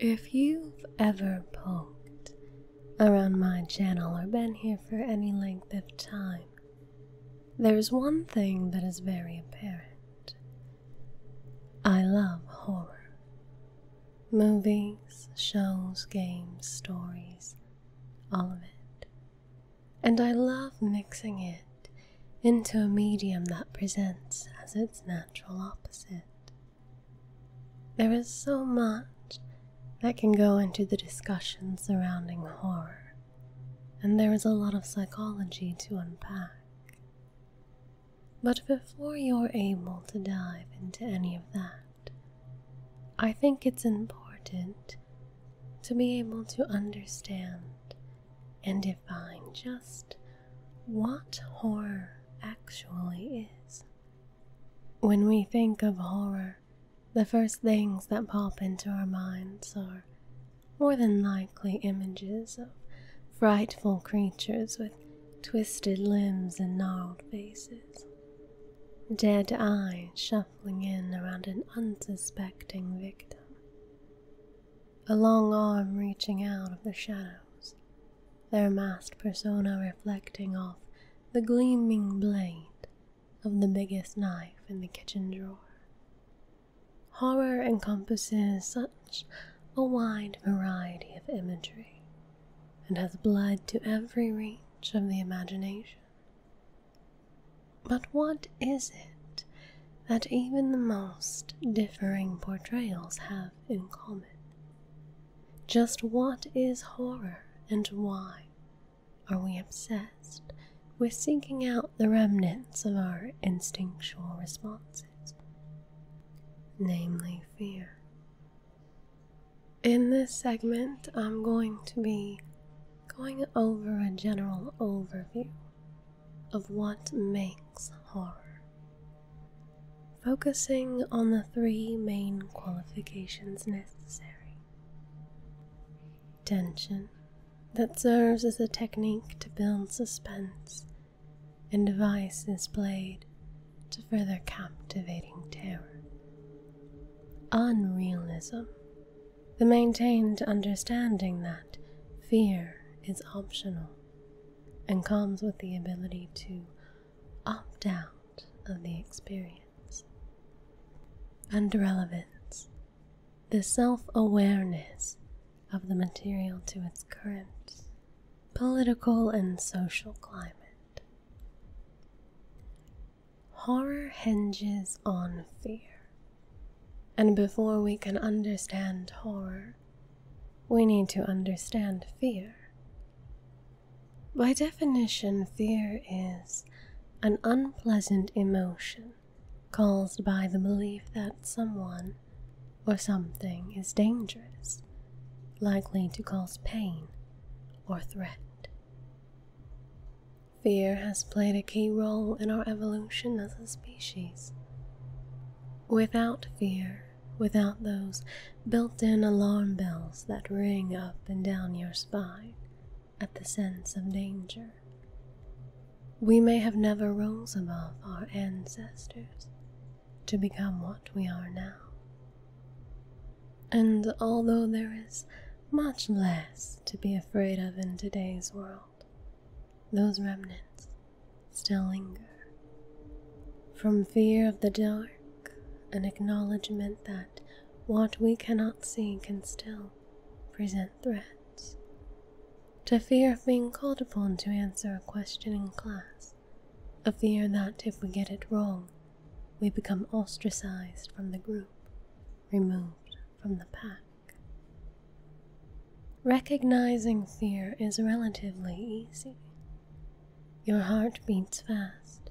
If you've ever poked around my channel or been here for any length of time, there's one thing that is very apparent. I love horror. Movies, shows, games, stories, all of it. And I love mixing it into a medium that presents as its natural opposite. There is so much that can go into the discussion surrounding horror, and there is a lot of psychology to unpack. But before you're able to dive into any of that, I think it's important to be able to understand and define just what horror actually is. When we think of horror, the first things that pop into our minds are more than likely images of frightful creatures with twisted limbs and gnarled faces, dead eyes shuffling in around an unsuspecting victim, a long arm reaching out of the shadows, their masked persona reflecting off the gleaming blade of the biggest knife in the kitchen drawer. Horror encompasses such a wide variety of imagery and has blood to every reach of the imagination. But what is it that even the most differing portrayals have in common. Just what is horror and why are we obsessed with seeking out the remnants of our instinctual responses, namely fear? In this segment, I'm going to be going over a general overview of what makes horror, focusing on the three main qualifications necessary tension that serves as a technique to build suspense, and devices played to further captivating terror. Unrealism, the maintained understanding that fear is optional and comes with the ability to opt out of the experience. And relevance, the self awareness of the material to its current political and social climate. Horror hinges on fear. And before we can understand horror, we need to understand fear. By definition, fear is an unpleasant emotion caused by the belief that someone or something is dangerous, likely to cause pain or threat. Fear has played a key role in our evolution as a species. Without fear, without those built in alarm bells that ring up and down your spine at the sense of danger. We may have never rose above our ancestors to become what we are now. And although there is much less to be afraid of in today's world, those remnants still linger. From fear of the dark, an acknowledgement that what we cannot see can still present threats, to fear of being called upon to answer a question in class, a fear that if we get it wrong, we become ostracized from the group, removed from the pack. Recognizing fear is relatively easy. Your heart beats fast.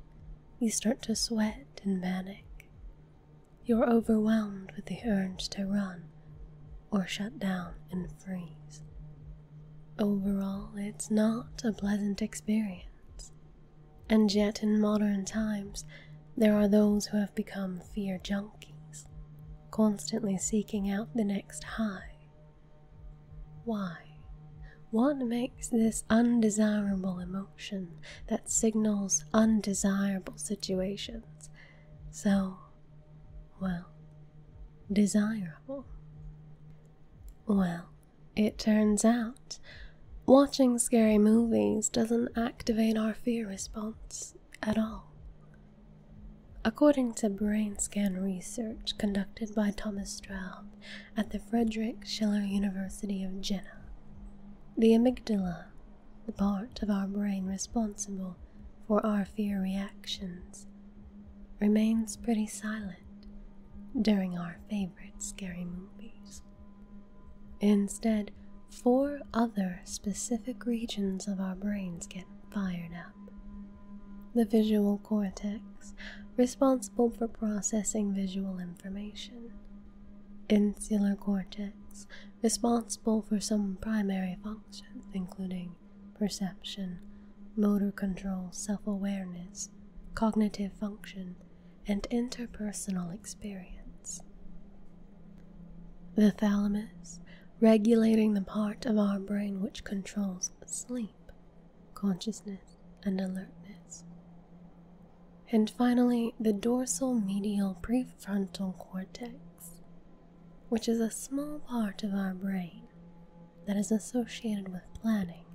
You start to sweat and panic. You're overwhelmed with the urge to run or shut down and freeze. Overall, it's not a pleasant experience. And yet, in modern times, there are those who have become fear junkies constantly seeking out the next high. Why? What makes this undesirable emotion that signals undesirable situations so, well, desirable? Well, it turns out watching scary movies doesn't activate our fear response at all. According to brain scan research conducted by Thomas Stroud at the Frederick Schiller University of Jena, the amygdala, the part of our brain responsible for our fear reactions, remains pretty silent during our favorite scary movies. Instead, four other specific regions of our brains get fired up. The visual cortex, responsible for processing visual information. Insular cortex, responsible for some primary functions, including perception, motor control, self awareness, cognitive function, and interpersonal experience. The thalamus, regulating the part of our brain which controls sleep, consciousness, and alertness. And finally, the dorsal medial prefrontal cortex, which is a small part of our brain that is associated with planning,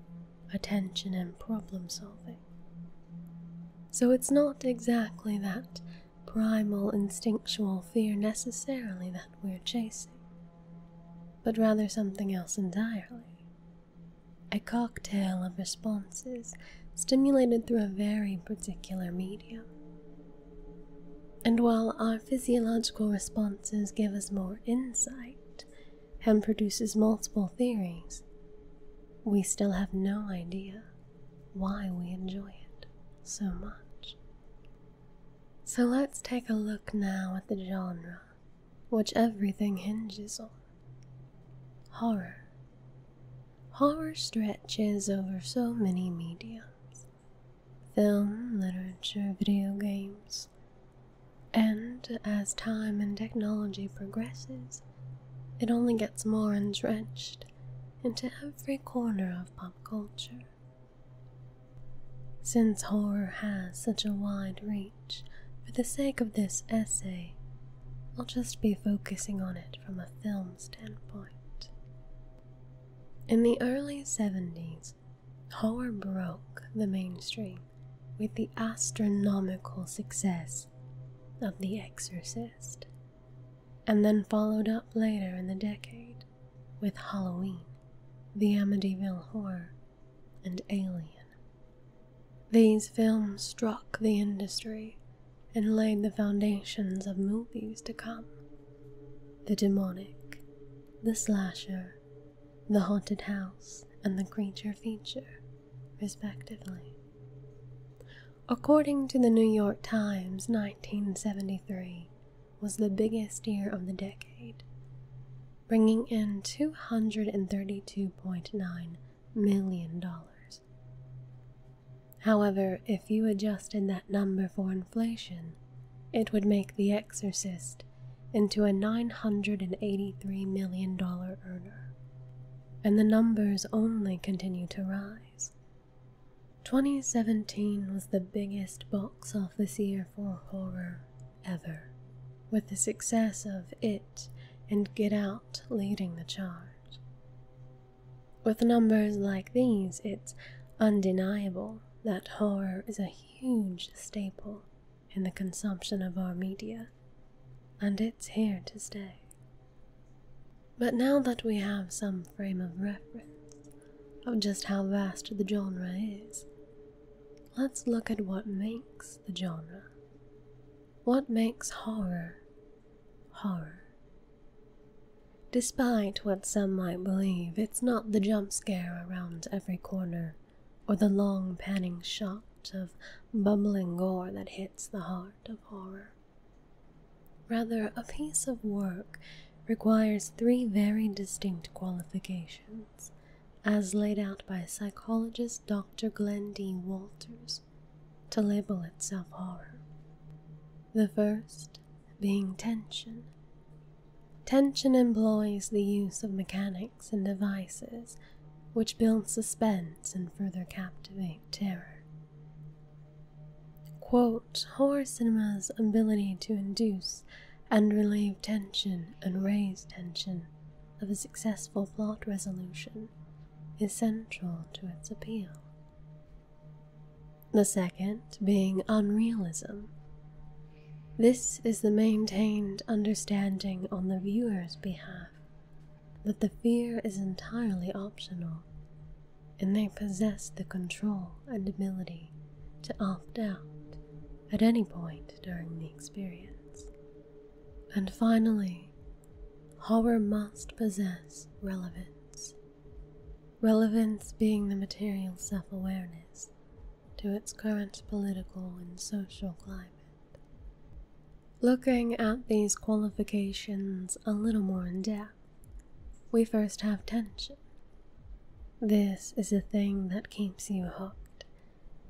attention, and problem solving. So it's not exactly that primal instinctual fear necessarily that we're chasing, but rather something else entirely. A cocktail of responses stimulated through a very particular medium. And while our physiological responses give us more insight and produces multiple theories, we still have no idea why we enjoy it so much. So let's take a look now at the genre, which everything hinges on horror. Horror stretches over so many mediums film, literature, video games. And as time and technology progresses, it only gets more entrenched into every corner of pop culture. Since horror has such a wide reach, for the sake of this essay, I'll just be focusing on it from a film standpoint. In the early 70s, horror broke the mainstream with the astronomical success of The Exorcist and then followed up later in the decade with Halloween, The Amityville Horror, and Alien. These films struck the industry and laid the foundations of movies to come. The demonic, the slasher, the haunted house, and the creature feature, respectively according to the New York Times, 1973 was the biggest year of the decade, bringing in $232.9 million. However, if you adjusted that number for inflation, it would make The Exorcist into a $983 million earner. And the numbers only continue to rise. 2017 was the biggest box office year for horror ever, with the success of It and Get Out leading the charge. With numbers like these, it's undeniable that horror is a huge staple in the consumption of our media, and it's here to stay. But now that we have some frame of reference of just how vast the genre is, let's look at what makes the genre. What makes horror horror? Despite what some might believe, it's not the jump scare around every corner or the long panning shot of bubbling gore that hits the heart of horror. Rather, a piece of work requires three very distinct qualifications, as laid out by psychologist Dr. Glenn D. Walters, to label itself horror. The first being tension. Tension employs the use of mechanics and devices which build suspense and further captivate terror. Quote, horror cinema's ability to induce and relieve tension and raise tension of a successful plot resolution is central to its appeal. The second being unrealism. This is the maintained understanding on the viewer's behalf that the fear is entirely optional and they possess the control and ability to opt out at any point during the experience. And finally, horror must possess relevance, relevance being the material self awareness to its current political and social climate. Looking at these qualifications a little more in depth, we first have tension. This is the thing that keeps you hooked,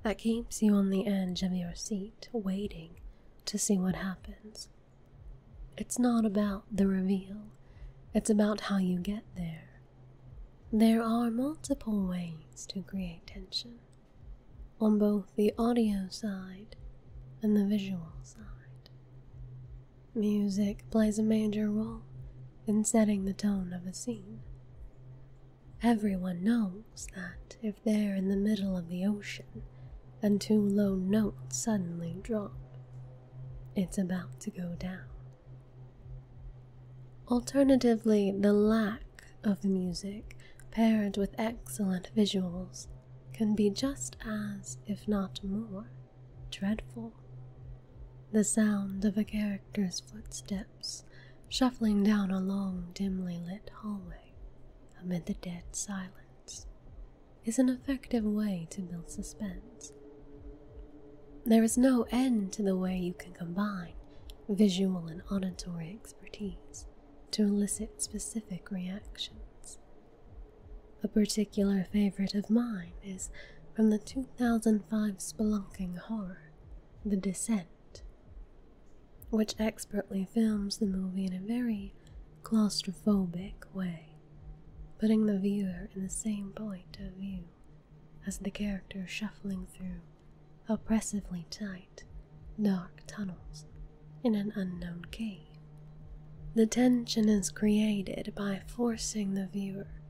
that keeps you on the edge of your seat, waiting to see what happens. It's not about the reveal, it's about how you get there. There are multiple ways to create tension on both the audio side and the visual side. Music plays a major role in setting the tone of a scene. Everyone knows that if they're in the middle of the ocean and two low notes suddenly drop, it's about to go down. Alternatively, the lack of music paired with excellent visuals can be just as, if not more, dreadful. The sound of a character's footsteps shuffling down a long, dimly lit hallway amid the dead silence is an effective way to build suspense. There is no end to the way you can combine visual and auditory expertise to elicit specific reactions. A particular favorite of mine is from the 2005 spelunking horror, The Descent, which expertly films the movie in a very claustrophobic way, putting the viewer in the same point of view as the character shuffling through oppressively tight, dark tunnels in an unknown cave. The tension is created by forcing the viewer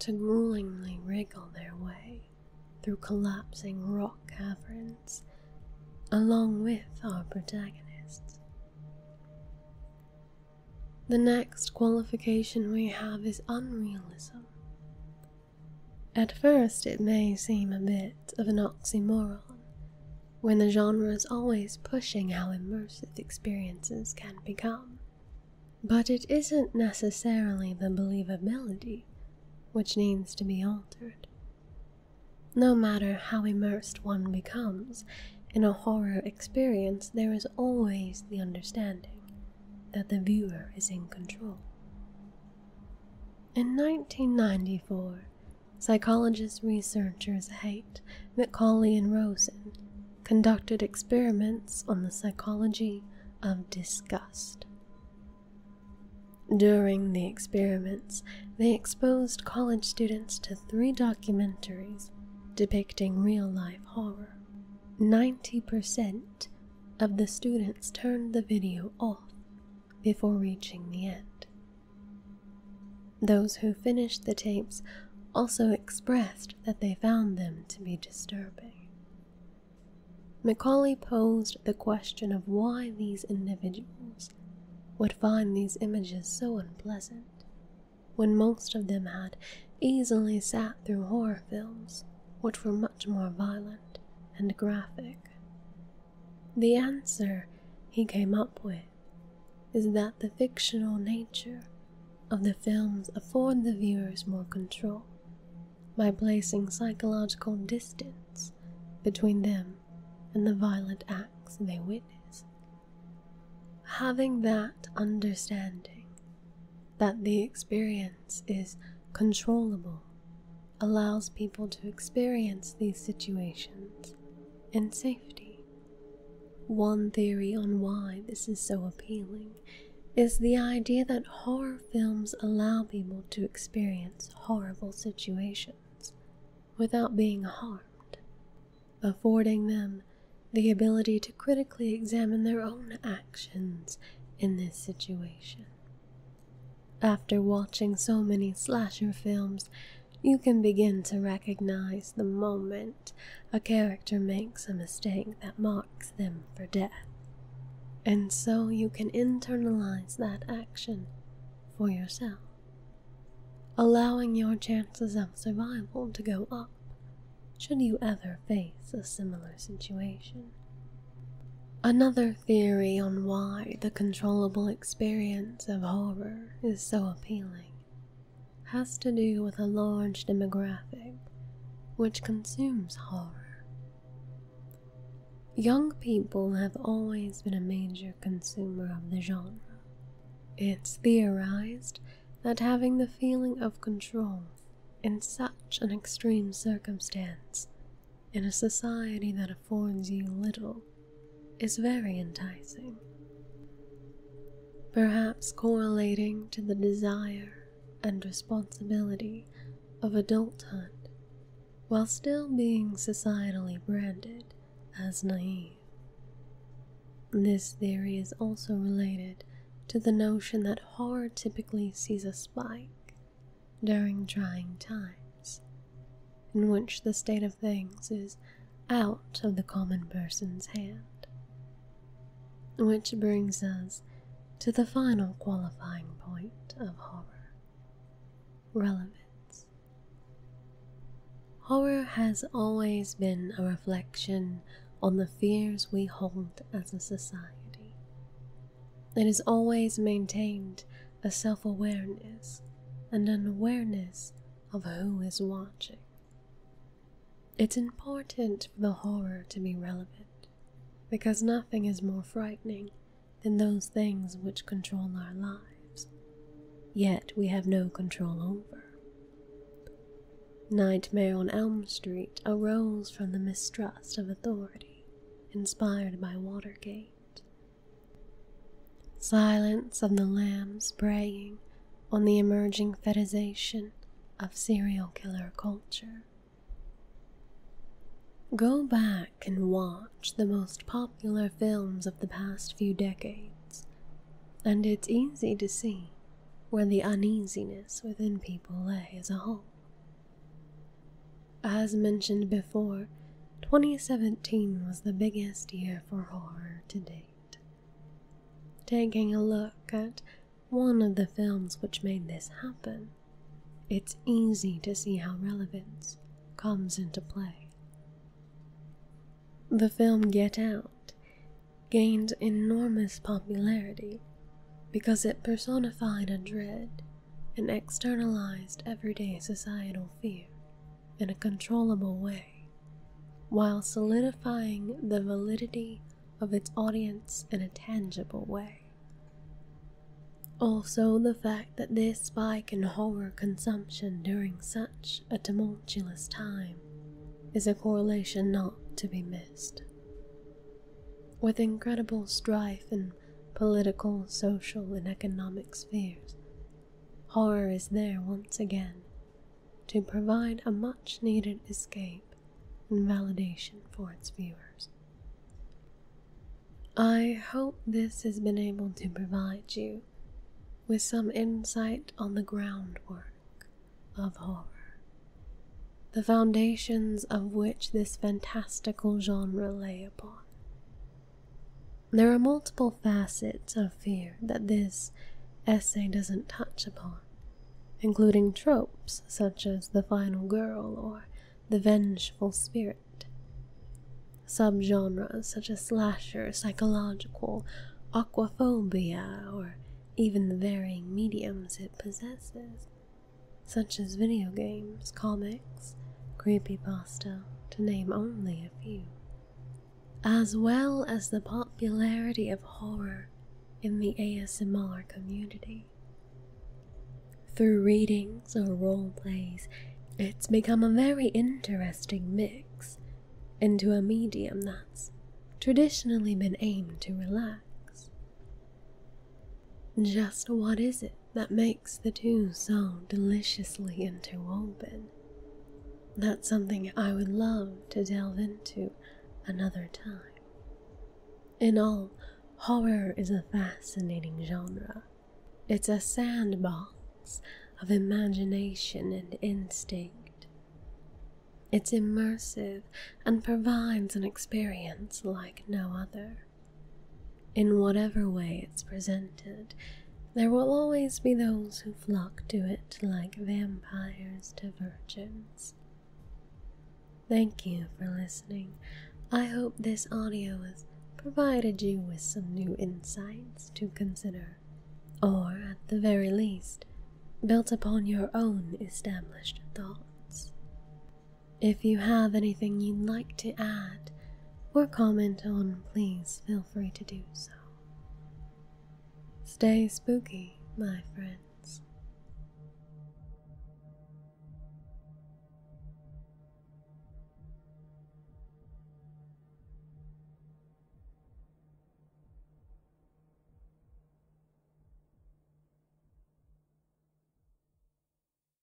to gruelingly wriggle their way through collapsing rock caverns along with our protagonists. The next qualification we have is unrealism. At first, it may seem a bit of an oxymoron when the genre is always pushing how immersive experiences can become. But it isn't necessarily the believability which needs to be altered. No matter how immersed one becomes in a horror experience, there is always the understanding that the viewer is in control. In 1994, Psychologists researchers Haight, McCauley, and Rosen conducted experiments on the psychology of disgust. During the experiments, they exposed college students to three documentaries depicting real life horror. 90% of the students turned the video off before reaching the end. Those who finished the tapes also expressed that they found them to be disturbing. Macaulay posed the question of why these individuals would find these images so unpleasant when most of them had easily sat through horror films which were much more violent and graphic the answer he came up with is that the fictional nature of the films afford the viewers more control by placing psychological distance between them and the violent acts they witness. Having that understanding that the experience is controllable allows people to experience these situations and safety. One theory on why this is so appealing is the idea that horror films allow people to experience horrible situations without being harmed, affording them the ability to critically examine their own actions in this situation. After watching so many slasher films, you can begin to recognize the moment a character makes a mistake that marks them for death. And so you can internalize that action for yourself, allowing your chances of survival to go up should you ever face a similar situation. Another theory on why the controllable experience of horror is so appealing has to do with a large demographic which consumes horror. Young people have always been a major consumer of the genre. It's theorized that having the feeling of control in such an extreme circumstance in a society that affords you little is very enticing. Perhaps correlating to the desire and responsibility of adulthood while still being societally branded as naive. This theory is also related to the notion that horror typically sees a spike during trying times in which the state of things is out of the common person's hand. Which brings us to the final qualifying point of horror relevance. Horror has always been a reflection on the fears we hold as a society. It has always maintained a self awareness, and an awareness of who is watching. It's important for the horror to be relevant, because nothing is more frightening than those things which control our lives, yet we have no control over. Nightmare on Elm Street arose from the mistrust of authority inspired by Watergate Silence of the lambs braying on the emerging fetishization of serial killer culture. Go back and watch the most popular films of the past few decades, and it's easy to see where the uneasiness within people lay as a whole. As mentioned before, 2017 was the biggest year for horror to date. Taking a look at one of the films which made this happen, it's easy to see how relevance comes into play. The film Get Out gained enormous popularity because it personified a dread an externalized everyday societal fear in a controllable way, while solidifying the validity of its audience in a tangible way. Also, the fact that this spike in horror consumption during such a tumultuous time is a correlation not to be missed. With incredible strife and political, social, and economic spheres, horror is there once again to provide a much needed escape and validation for its viewers. I hope this has been able to provide you with some insight on the groundwork of horror, the foundations of which this fantastical genre lay upon. There are multiple facets of fear that this essay doesn't touch upon, including tropes such as the final girl or the vengeful spirit. Subgenres such as slasher, psychological, aquaphobia, or even the varying mediums it possesses, such as video games, comics, creepypasta, to name only a few, as well as the popularity of horror in the ASMR community. Through readings or role plays, it's become a very interesting mix into a medium that's traditionally been aimed to relax. Just what is it that makes the two so deliciously interwoven? That's something I would love to delve into another time. In all, horror is a fascinating genre. It's a sandbox of imagination and instinct. It's immersive and provides an experience like no other. In whatever way it's presented, there will always be those who flock to it like vampires to virgins. Thank you for listening. I hope this audio has provided you with some new insights to consider, or at the very least, built upon your own established thoughts. If you have anything you'd like to add or comment on, please feel free to do so. Stay spooky, my friends.